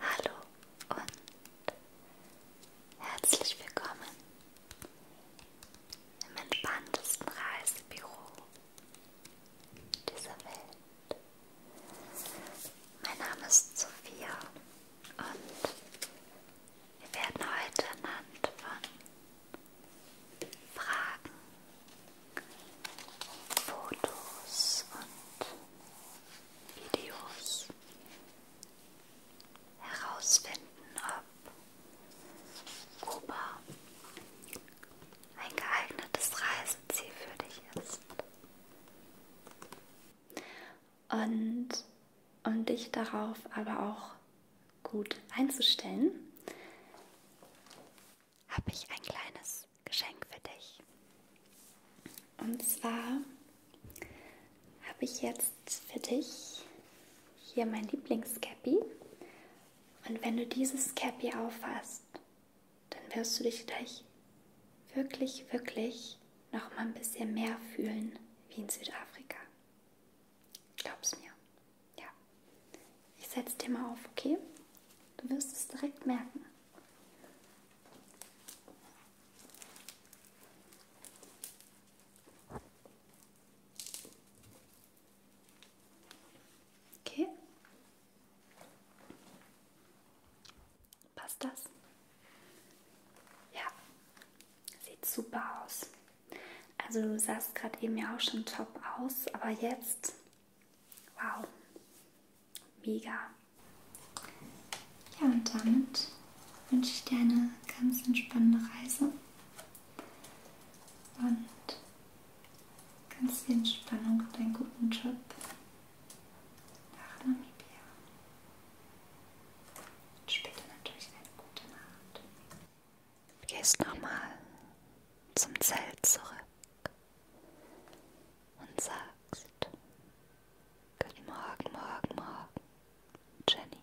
Hallo und herzlich willkommen im entspanntesten Reisebüro dieser Welt. Mein Name ist Sophia und wir werden heute anhand von Fragen, Fotos und Videos herausfinden, ob Kuba ein geeignetes Reiseziel für dich ist. Und um dich darauf aber auch gut einzustellen, habe ich ein kleines Geschenk für dich. Und zwar habe ich jetzt für dich hier mein Lieblingscappy. Und wenn du dieses Cappy auffasst, dann wirst du dich gleich wirklich, wirklich noch mal ein bisschen mehr fühlen wie in Südafrika. Glaub's mir. Ja. Ich setze dir mal auf, okay? Du wirst es direkt merken. Okay. Passt das? Ja. Sieht super aus. Also du sahst gerade eben ja auch schon top aus, aber jetzt, wow, mega. Ja, und damit wünsche ich dir eine ganz entspannende Reise und ganz viel Entspannung und einen guten Job nach Namibia. Und später natürlich eine gute Nacht. Gehst nochmal zum Zelt zurück und sagst, Guten Morgen, morgen, morgen, Jenny.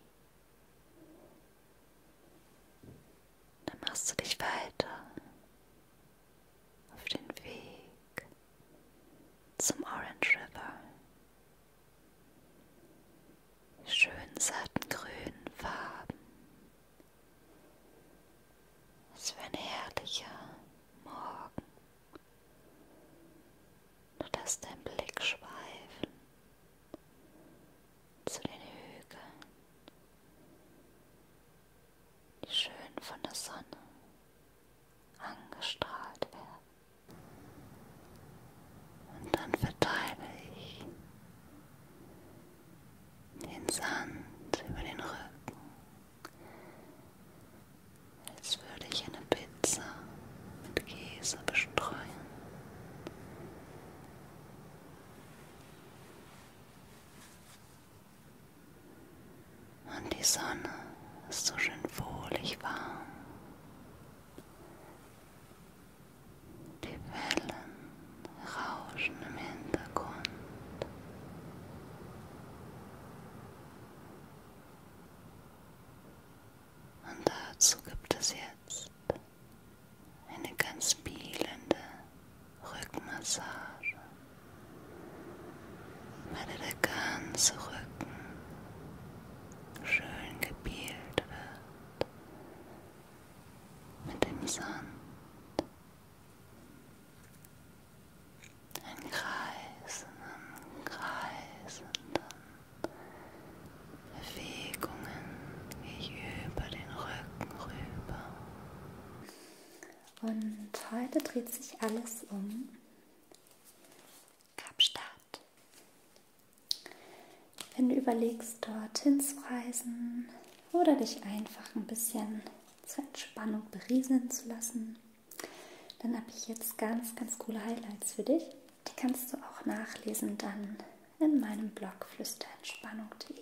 Dann machst du dich weiter auf den Weg zum Orange River schön satten grünen Farben. Es war ein herrlicher Morgen. Du lässt deinen Blick schweifen zu den Hügeln, die schön von der Sonne angestrahlt werden. Und dann verteile ich den Sand über den Rücken, als würde ich eine Pizza mit Käse bestreuen. Und die Sonne ist so schön wohlig warm. Die Wellen rauschen im Hintergrund. Und dazu gibt es jetzt eine ganz spielende Rückmassage, bei der der ganze Rücken schön gebielt wird mit dem Sand. Ein kreisenden, kreisenden Bewegungen gehe ich über den Rücken rüber. Und heute dreht sich alles um Kapstadt. Wenn du überlegst, dorthin zu reisen oder dich einfach ein bisschen zur Entspannung berieseln zu lassen, dann habe ich jetzt ganz, ganz coole Highlights für dich. Die kannst du auch nachlesen dann in meinem Blog flüsterentspannung.de.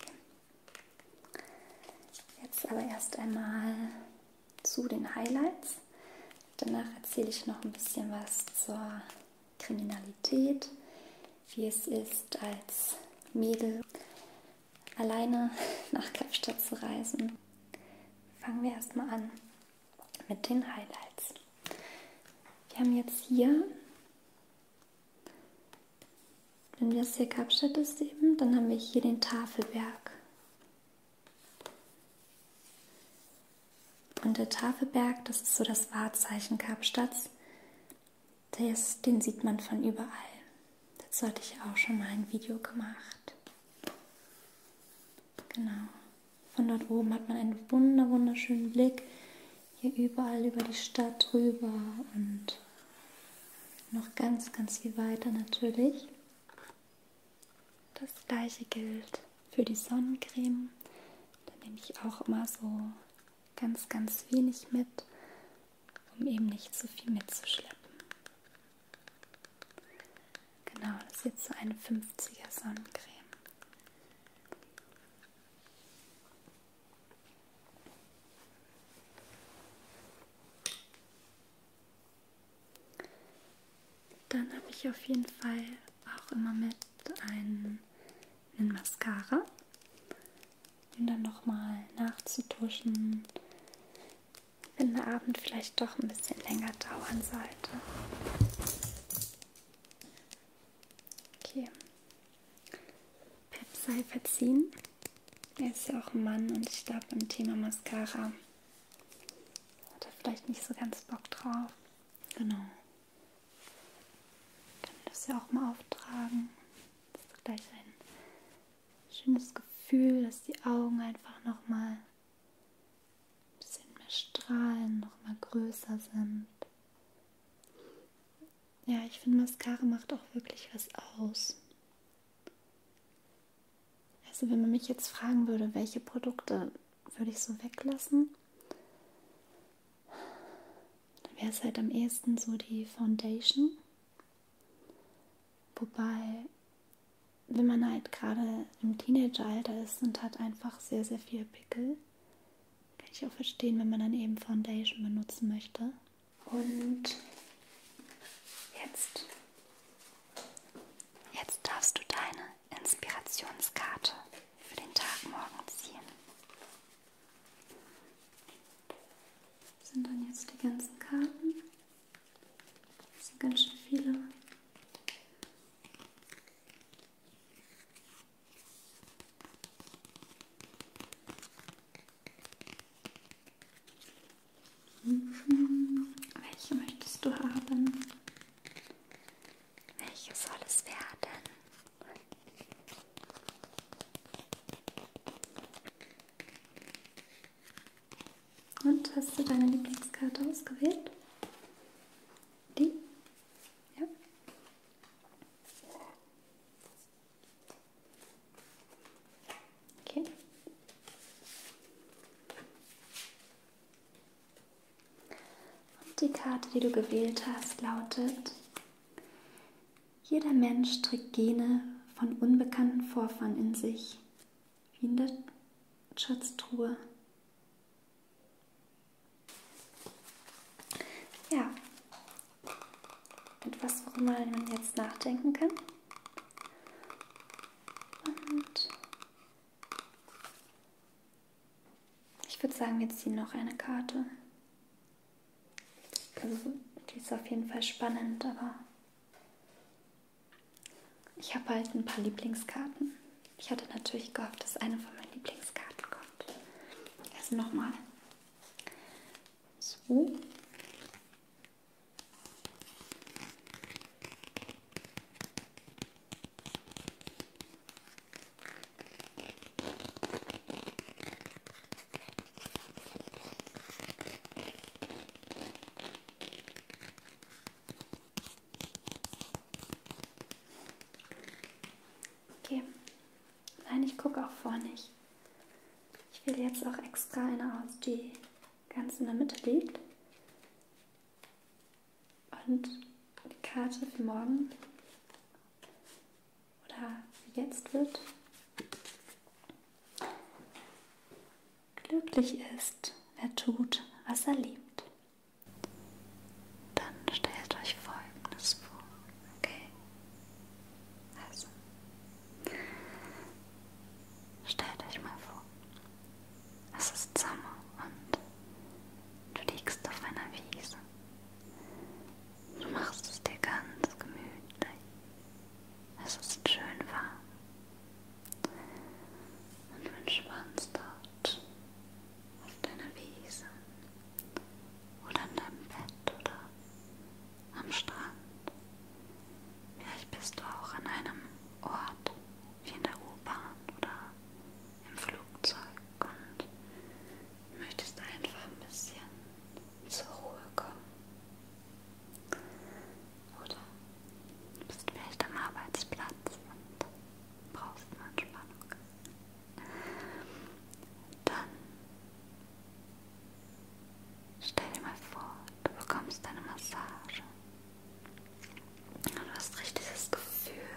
Jetzt aber erst einmal zu den Highlights. Danach erzähle ich noch ein bisschen was zur Kriminalität, wie es ist, als Mädel alleine nach Kapstadt zu reisen. Fangen wir erstmal an mit den Highlights. Wir haben jetzt hier, wenn das hier Kapstadt ist eben, dann haben wir hier den Tafelberg. Und der Tafelberg, das ist so das Wahrzeichen Kapstadts, das, den sieht man von überall. Dazu hatte ich auch schon mal ein Video gemacht. Genau. Von dort oben hat man einen wunder wunderschönen Blick hier überall über die Stadt rüber und noch ganz, ganz viel weiter natürlich. Das gleiche gilt für die Sonnencreme. Da nehme ich auch immer so ganz, ganz wenig mit, um eben nicht zu so viel mitzuschleppen. Genau, das ist jetzt so eine 50er Sonnencreme. Dann habe ich auf jeden Fall auch immer mit einen, einen Mascara, um dann nochmal nachzutuschen, wenn der Abend vielleicht doch ein bisschen länger dauern sollte. Okay. Pep sei verziehen. Er ist ja auch ein Mann und ich glaube im Thema Mascara hat er vielleicht nicht so ganz Bock drauf. Genau. Können das ja auch mal auftragen. Das ist gleich ein schönes Gefühl, dass die Augen einfach nochmal ein bisschen mehr strahlen, nochmal größer sind. Ja, ich finde, Mascara macht auch wirklich was aus. Also wenn man mich jetzt fragen würde, welche Produkte würde ich so weglassen. Dann wäre es halt am ehesten so die Foundation. Wobei, wenn man halt gerade im Teenageralter ist und hat einfach sehr, sehr viel Pickel, kann ich auch verstehen, wenn man dann eben Foundation benutzen möchte. Und jetzt Jetzt darfst du deine Inspirationskarte für den Tag morgen ziehen. Das sind dann jetzt die ganzen Karten. Das sind ganz schön viele. Mhm. Welche möchtest du haben? Welche soll es werden? Und hast du deine Lieblingskarte ausgewählt? Die? Ja. Okay. Und die Karte, die du gewählt hast, lautet, jeder Mensch trägt Gene von unbekannten Vorfahren in sich, wie in der Schatztruhe. Ja, etwas, worüber man jetzt nachdenken kann. Und ich würde sagen, wir ziehen noch eine Karte. Also, die ist auf jeden Fall spannend, aber ich habe halt ein paar Lieblingskarten. Ich hatte natürlich gehofft, dass eine von meinen Lieblingskarten kommt. Also nochmal. So. Okay. Nein, ich gucke auch vor nicht. Ich wähle jetzt auch extra eine aus, die ganz in der Mitte liegt. Und die Karte für morgen oder jetzt wird glücklich ist, wer tut, was er liebt. Dann stellt euch Folgendes vor, okay? Also, stellt euch mal vor, es ist Sommer und du liegst auf einer Wiese. Du machst es dir ganz gemütlich. Es ist schön warm. Und du entspannst dort auf deiner Wiese oder in deinem Bett oder am Strand. Vielleicht bist du auch an einem Ort, wie in der U-Bahn oder im Flugzeug und möchtest einfach ein bisschen zur Ruhe kommen. Oder du bist vielleicht am Arbeitsplatz und brauchst eine Entspannung. Dann stell dir mal vor, du bekommst eine Massage Du hast richtig das Gefühl,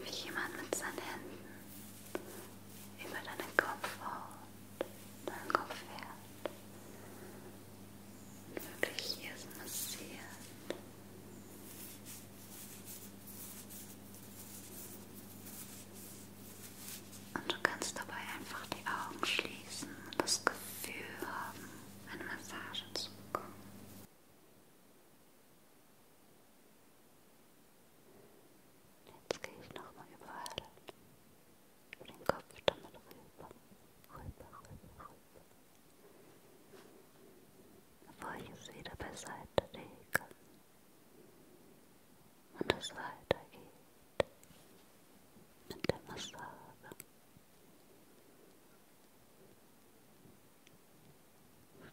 wie jemand mit seinen Händen über deinen Kopf haut, deinen Kopf fährt und wirklich hier so massiert. Und du kannst dabei einfach die Augen schließen und das Gefühl haben, eine Massage zu bekommen. Jetzt gehe ich nochmal überall über den Kopf damit rüber, rüber, rüber, rüber. Bevor ich es wieder beiseite lege und es weitergeht mit der Massage.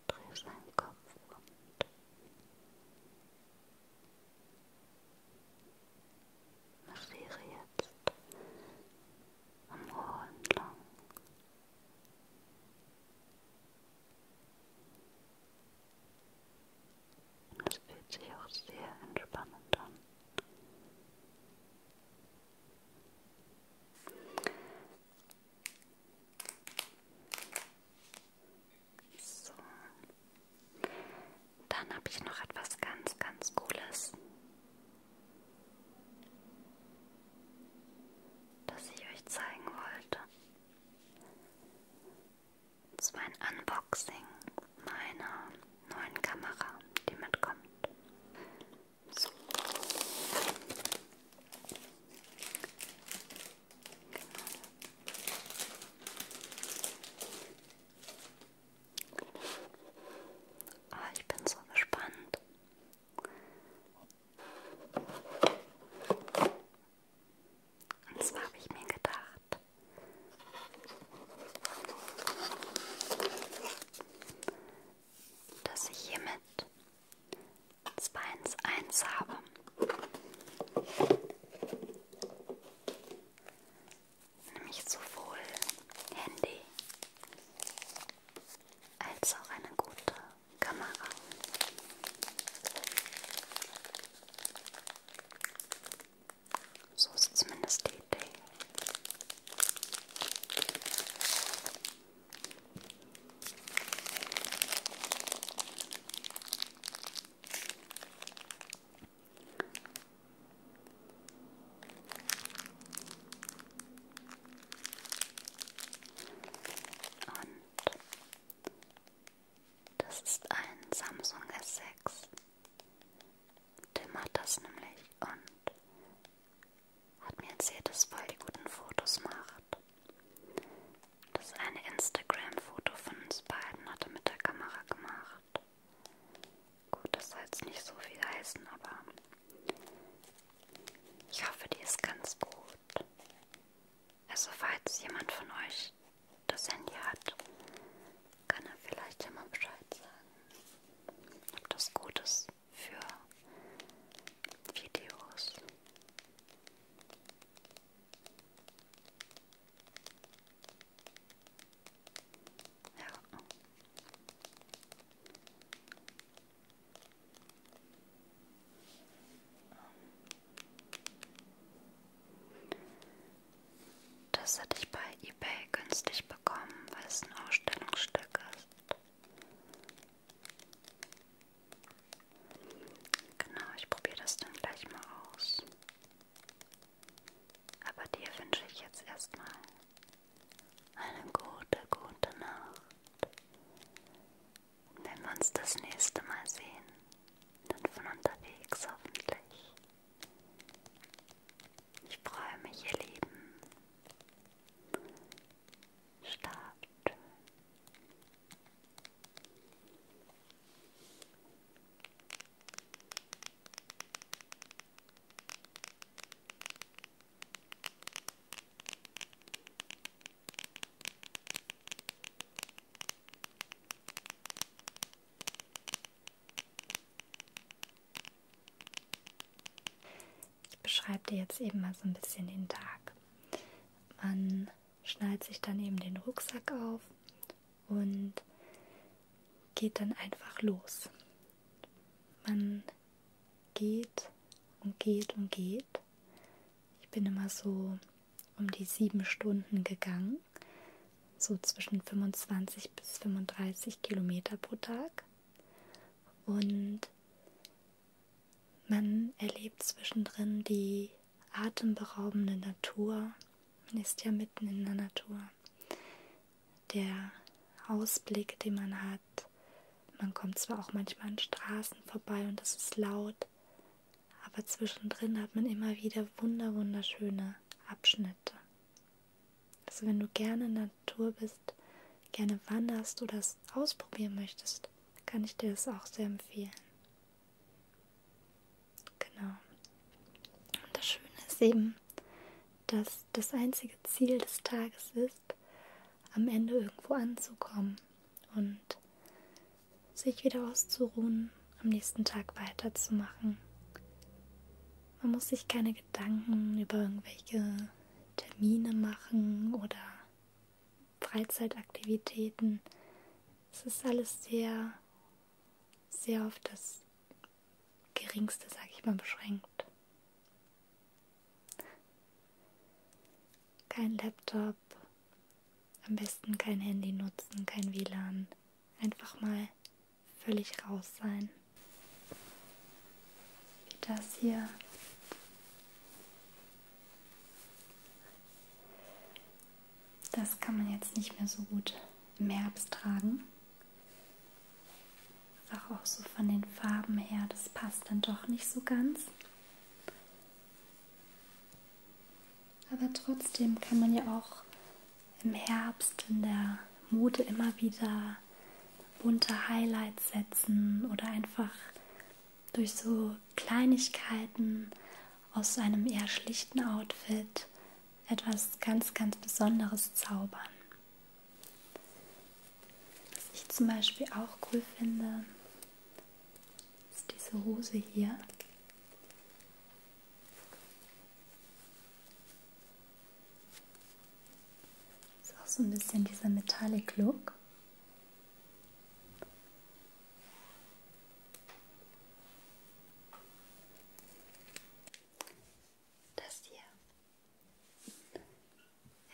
Dreh seinen Kopf um. Massiere jetzt am Ohr entlang. Und es fühlt sich auch sehr entspannend an. So. Dann habe ich noch etwas ganz, ganz Cooles, das ich euch zeigen wollte. Das war ein Unboxing meiner neuen Kamera, die mitkommt. So. Genau. Oh, ich bin so gespannt. Und zwar habe ich mir gedacht, dass ich hiermit 2 ins 1 habe. Nämlich sowohl Handy als auch eine gute Kamera. So ist zumindest die Idee. Und das ist ein Samsung S6 Tim hat das nämlich und hat mir erzählt, dass voll die guten Fotos macht. Das eine Instagram-Foto von uns beiden hat er mit der Kamera gemacht. Gut, das soll jetzt nicht so viel heißen, aber ich hoffe, die ist ganz gut. Also falls jemand von euch das Handy hat, kann er vielleicht ja mal Bescheid sagen, ob das gut ist für Videos. Ja. Das hätte ich bei eBay günstig bekommen, weil es ein Ausstellungsstück ist. Genau, ich probiere das dann gleich mal aus. Aber dir wünsche ich jetzt erstmal eine gute, gute Nacht. Wenn wir uns das nächste Mal sehen, dann von unterwegs hoffentlich. Ich freue mich, ihr Lieben. Stark schön. Schlaft ich beschreibe dir jetzt eben mal so ein bisschen den Tag. Man schnallt sich dann eben den Rucksack auf und geht dann einfach los. Man geht und geht und geht. Ich bin immer so um die sieben Stunden gegangen, so zwischen 25 bis 35 Kilometer pro Tag. Und man erlebt zwischendrin die atemberaubende Natur, man ist ja mitten in der Natur. Der Ausblick, den man hat, man kommt zwar auch manchmal an Straßen vorbei und es ist laut, aber zwischendrin hat man immer wieder wunder wunderschöne Abschnitte. Also wenn du gerne in der Natur bist, gerne wanderst oder es ausprobieren möchtest, kann ich dir das auch sehr empfehlen. Genau. Und das Schöne ist eben, dass das einzige Ziel des Tages ist, am Ende irgendwo anzukommen und sich wieder auszuruhen, am nächsten Tag weiterzumachen. Man muss sich keine Gedanken über irgendwelche Termine machen oder Freizeitaktivitäten. Es ist alles sehr, sehr auf das Geringste, sag ich mal, beschränkt. Kein Laptop, am besten kein Handy nutzen, kein WLAN, einfach mal völlig raus sein. Wie das hier. Das kann man jetzt nicht mehr so gut im Herbst tragen. Einfach auch so von den Farben her, das passt dann doch nicht so ganz. Aber trotzdem kann man ja auch im Herbst in der Mode immer wieder bunte Highlights setzen oder einfach durch so Kleinigkeiten aus einem eher schlichten Outfit etwas ganz, ganz Besonderes zaubern. Was ich zum Beispiel auch cool finde, ist diese Hose hier. Ist auch so ein bisschen dieser Metallic Look. Das hier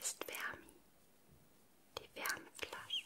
ist Wärmi, die Wärmeflasche.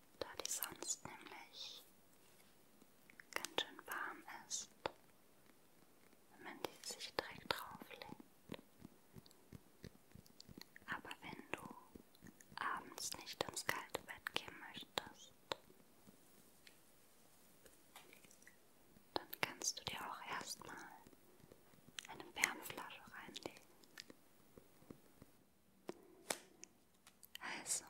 da die sonst nämlich ganz schön warm ist, wenn man die sich direkt drauflegt. Aber wenn du abends nicht ins kalte Bett gehen möchtest, dann kannst du dir auch erstmal eine Wärmflasche reinlegen. Also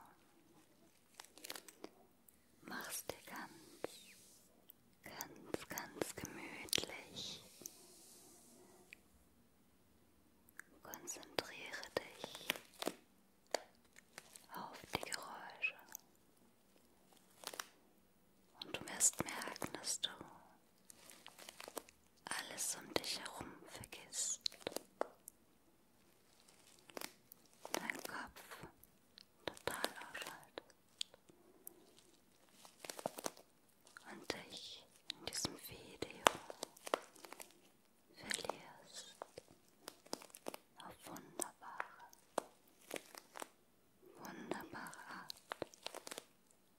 mach's dir ganz, ganz, ganz gemütlich. Konzentriere dich auf die Geräusche und du wirst merken, dass du alles um dich herum vergisst. Dein Kopf total ausschaltet. Und dich in diesem Video verlierst auf wunderbare, wunderbare Art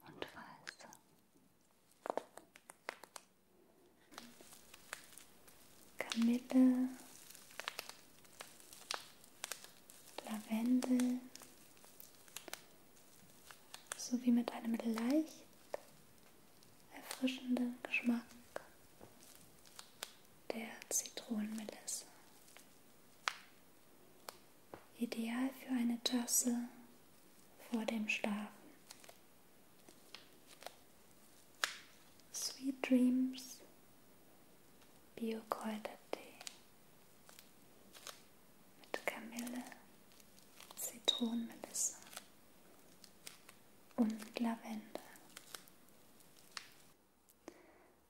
und weiße. Kamille, Lavendel sowie mit einem leicht erfrischenden Geschmack der Zitronenmelisse. Ideal für eine Tasse vor dem Schlafen. Sweet Dreams Bio-Kräutertee mit Kamille, Zitronenmelisse und Lavendel.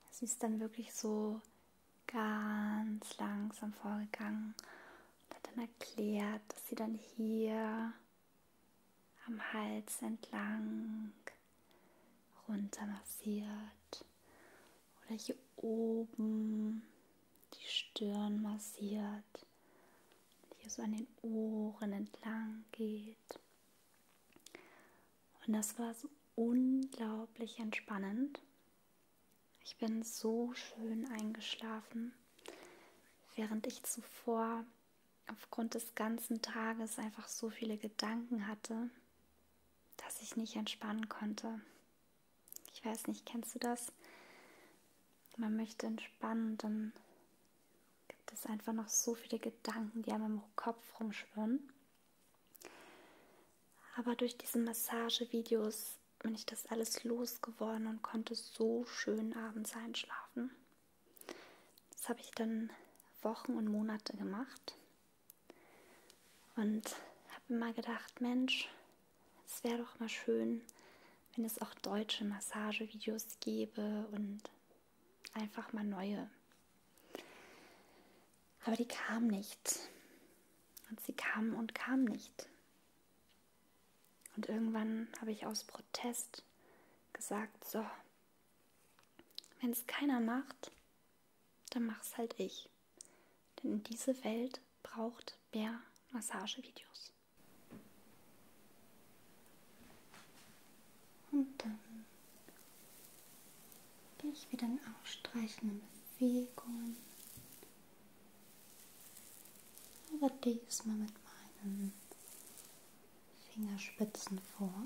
Es ist dann wirklich so ganz langsam vorgegangen und hat dann erklärt, dass sie dann hier am Hals entlang runter massiert oder hier oben die Stirn massiert, hier so an den Ohren entlang geht. Und das war so unglaublich entspannend. Ich bin so schön eingeschlafen, während ich zuvor aufgrund des ganzen Tages einfach so viele Gedanken hatte, dass ich nicht entspannen konnte. Ich weiß nicht, kennst du das? Man möchte entspannen, dann gibt es einfach noch so viele Gedanken, die einem im Kopf rumschwirren. Aber durch diese Massagevideos bin ich das alles losgeworden und konnte so schön abends einschlafen. Das habe ich dann Wochen und Monate gemacht und habe immer gedacht, Mensch, es wäre doch mal schön, wenn es auch deutsche Massagevideos gäbe und einfach mal neue. Aber die kamen nicht. Und sie kamen und kamen nicht. Und irgendwann habe ich aus Protest gesagt, so, wenn es keiner macht, dann mach's halt ich. Denn diese Welt braucht mehr Massagevideos. Und dann gehe ich wieder in ausstreichende Bewegungen aber diesmal mit meinen Fingerspitzen vor.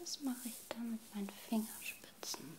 Das mache ich dann mit meinen Fingerspitzen.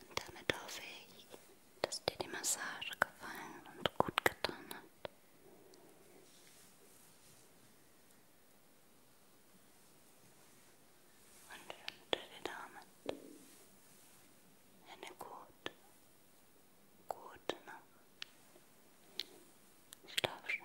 Und damit hoffe ich, dass dir die Massage gefallen und gut getan hat. Und wünsche dir damit eine gute, gute Nacht. Schlaf schön.